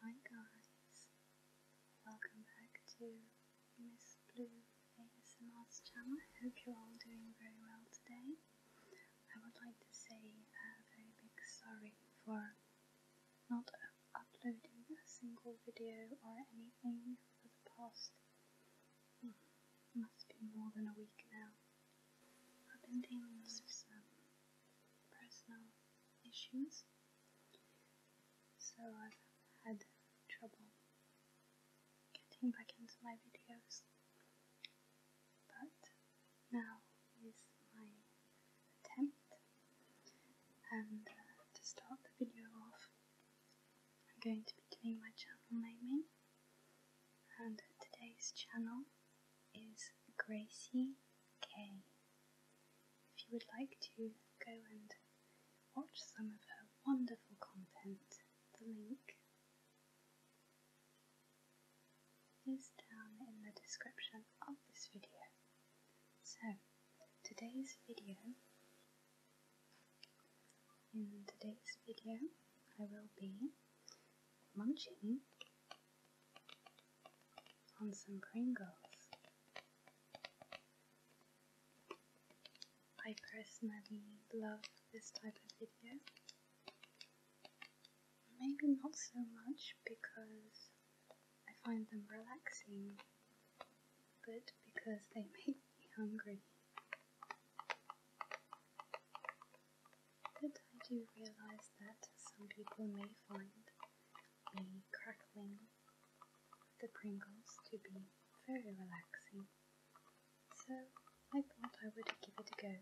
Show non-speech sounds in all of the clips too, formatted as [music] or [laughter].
Hi guys, welcome back to Miss Blue ASMR's channel. I hope you're all doing very well today. I would like to say a very big sorry for not Uploading a single video or anything for the past must be more than a week now. I've been dealing with some personal issues, so I've had trouble getting back into my videos. But now is my attempt. And uh, to start the video off, I'm going to be doing my channel naming. And today's channel is Gracie K. If you would like to go and watch some of her wonderful content, the link is down in the description of this video. So, today's video, in today's video I will be munching on some Pringles. I personally love this type of video. Maybe not so much because I find them relaxing, but because they [laughs] make me hungry. But I do realise that some people may find the crackling the Pringles to be very relaxing, so I thought I would give it a go.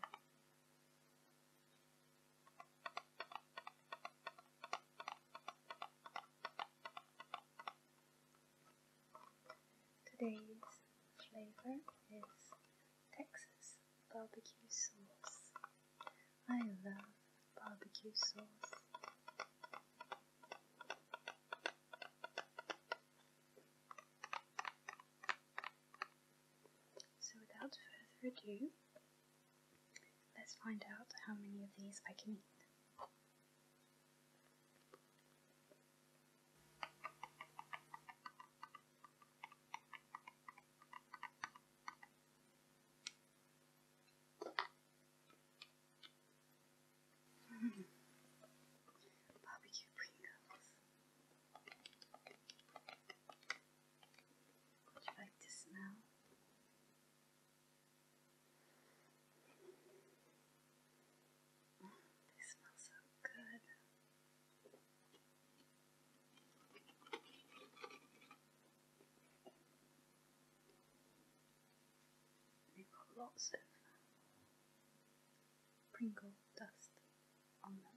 Today's flavor is Texas barbecue sauce. I love barbecue sauce. So without further ado, Let's find out how many of these I can eat. [laughs] Barbecue Pringles. Would you like to smell? Mm, they so good. They've lots of uh, Pringle dust on them.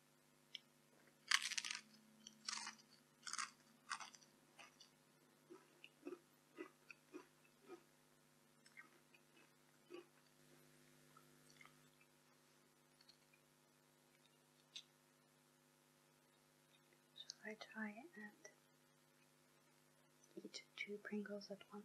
Shall I try and eat two Pringles at once?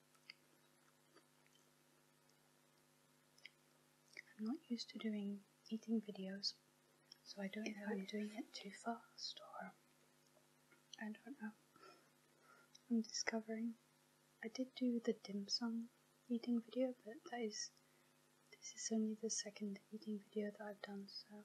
I'm not used to doing eating videos, so I don't know if I'm doing it too fast or I don't know. I'm discovering. I did do the dim sum eating video, but that is this is only the second eating video that I've done, so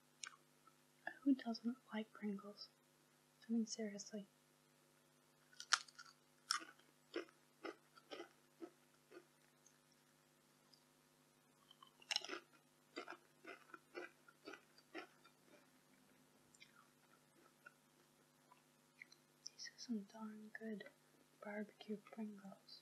Who doesn't like Pringles? I mean, seriously. These are some darn good barbecue Pringles.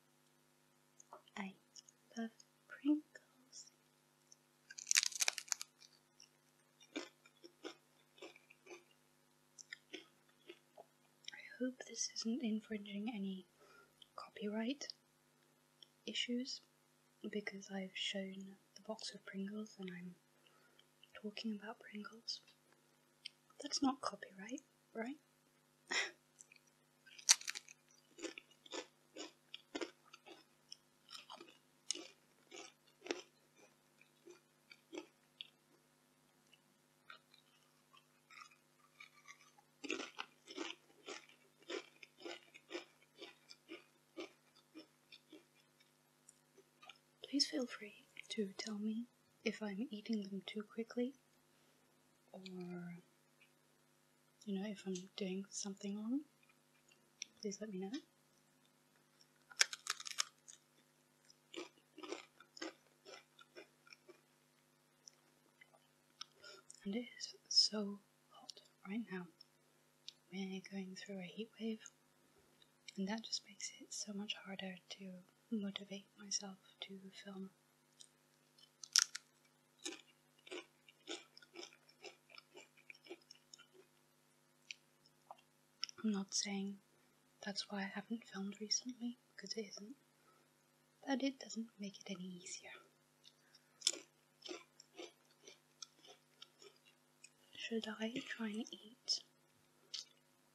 I love Pringles. I hope this isn't infringing any copyright issues because I've shown the box of Pringles and I'm talking about Pringles. That's not copyright, right? Please feel free to tell me if I'm eating them too quickly or you know if I'm doing something wrong please let me know and it is so hot right now we're going through a heat wave and that just makes it so much harder to motivate myself to film. I'm not saying that's why I haven't filmed recently, because it isn't, but it doesn't make it any easier. Should I try and eat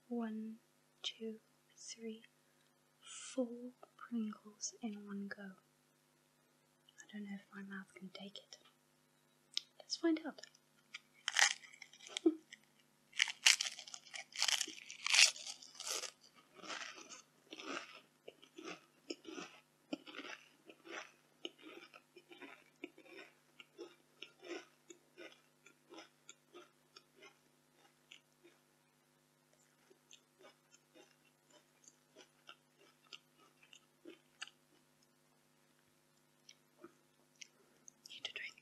one, two, three, four Pringles in one go. I don't know if my mouth can take it. Let's find out. Need a drink.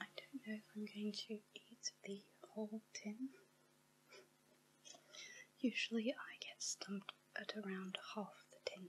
I don't know if I'm going to eat the whole tin. Usually I get stumped at around half the tin.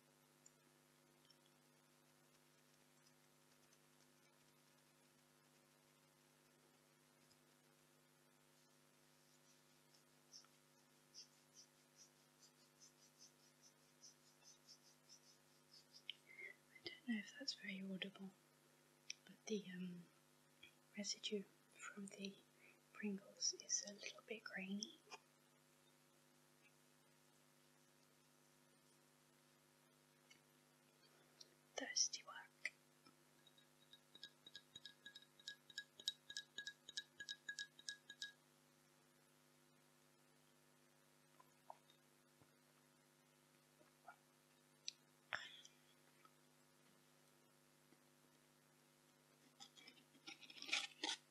I don't know if that's very audible, but the um, residue from the Pringles is a little bit grainy. Thirsty work.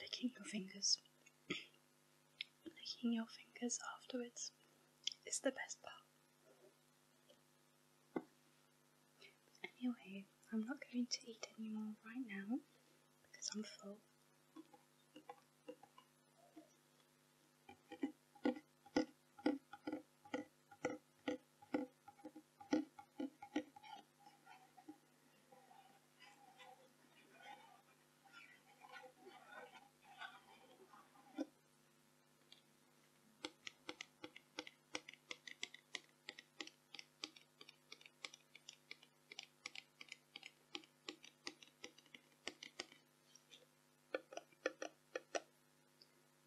Licking your fingers Licking your fingers afterwards is the best part. But anyway, I'm not going to eat any more right now because I'm full.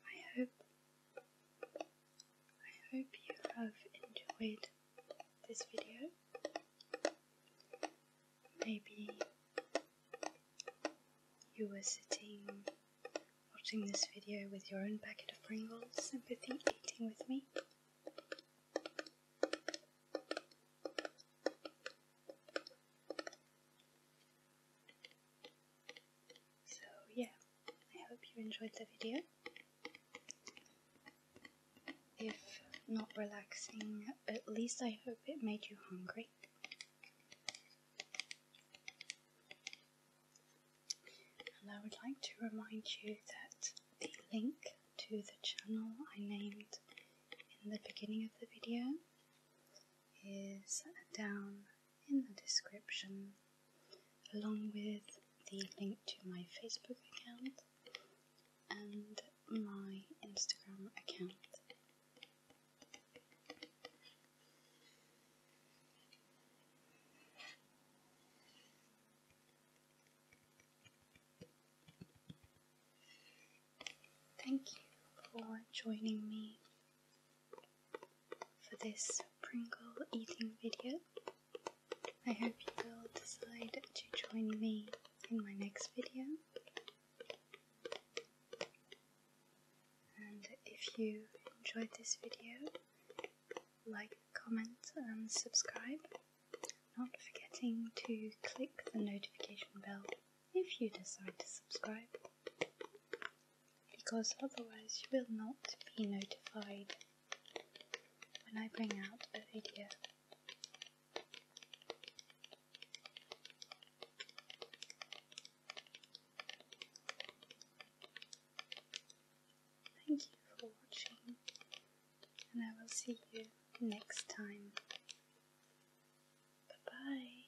I hope I hope you have enjoyed this video maybe you were sitting watching this video with your own packet of Pringles and sympathy eating with me. So yeah, I hope you enjoyed the video if not relaxing, at least I hope it made you hungry. And I would like to remind you that the link to the channel I named in the beginning of the video is down in the description along with the link to my Facebook account and my Instagram account. Thank you for joining me for this Pringle eating video. I hope you will decide to join me in my next video. And if you enjoyed this video, like, comment and subscribe, not forgetting to click the notification bell if you decide to subscribe, because otherwise you will not be notified when I bring out a video. Thank you for watching, and I will see you next time. Bye bye.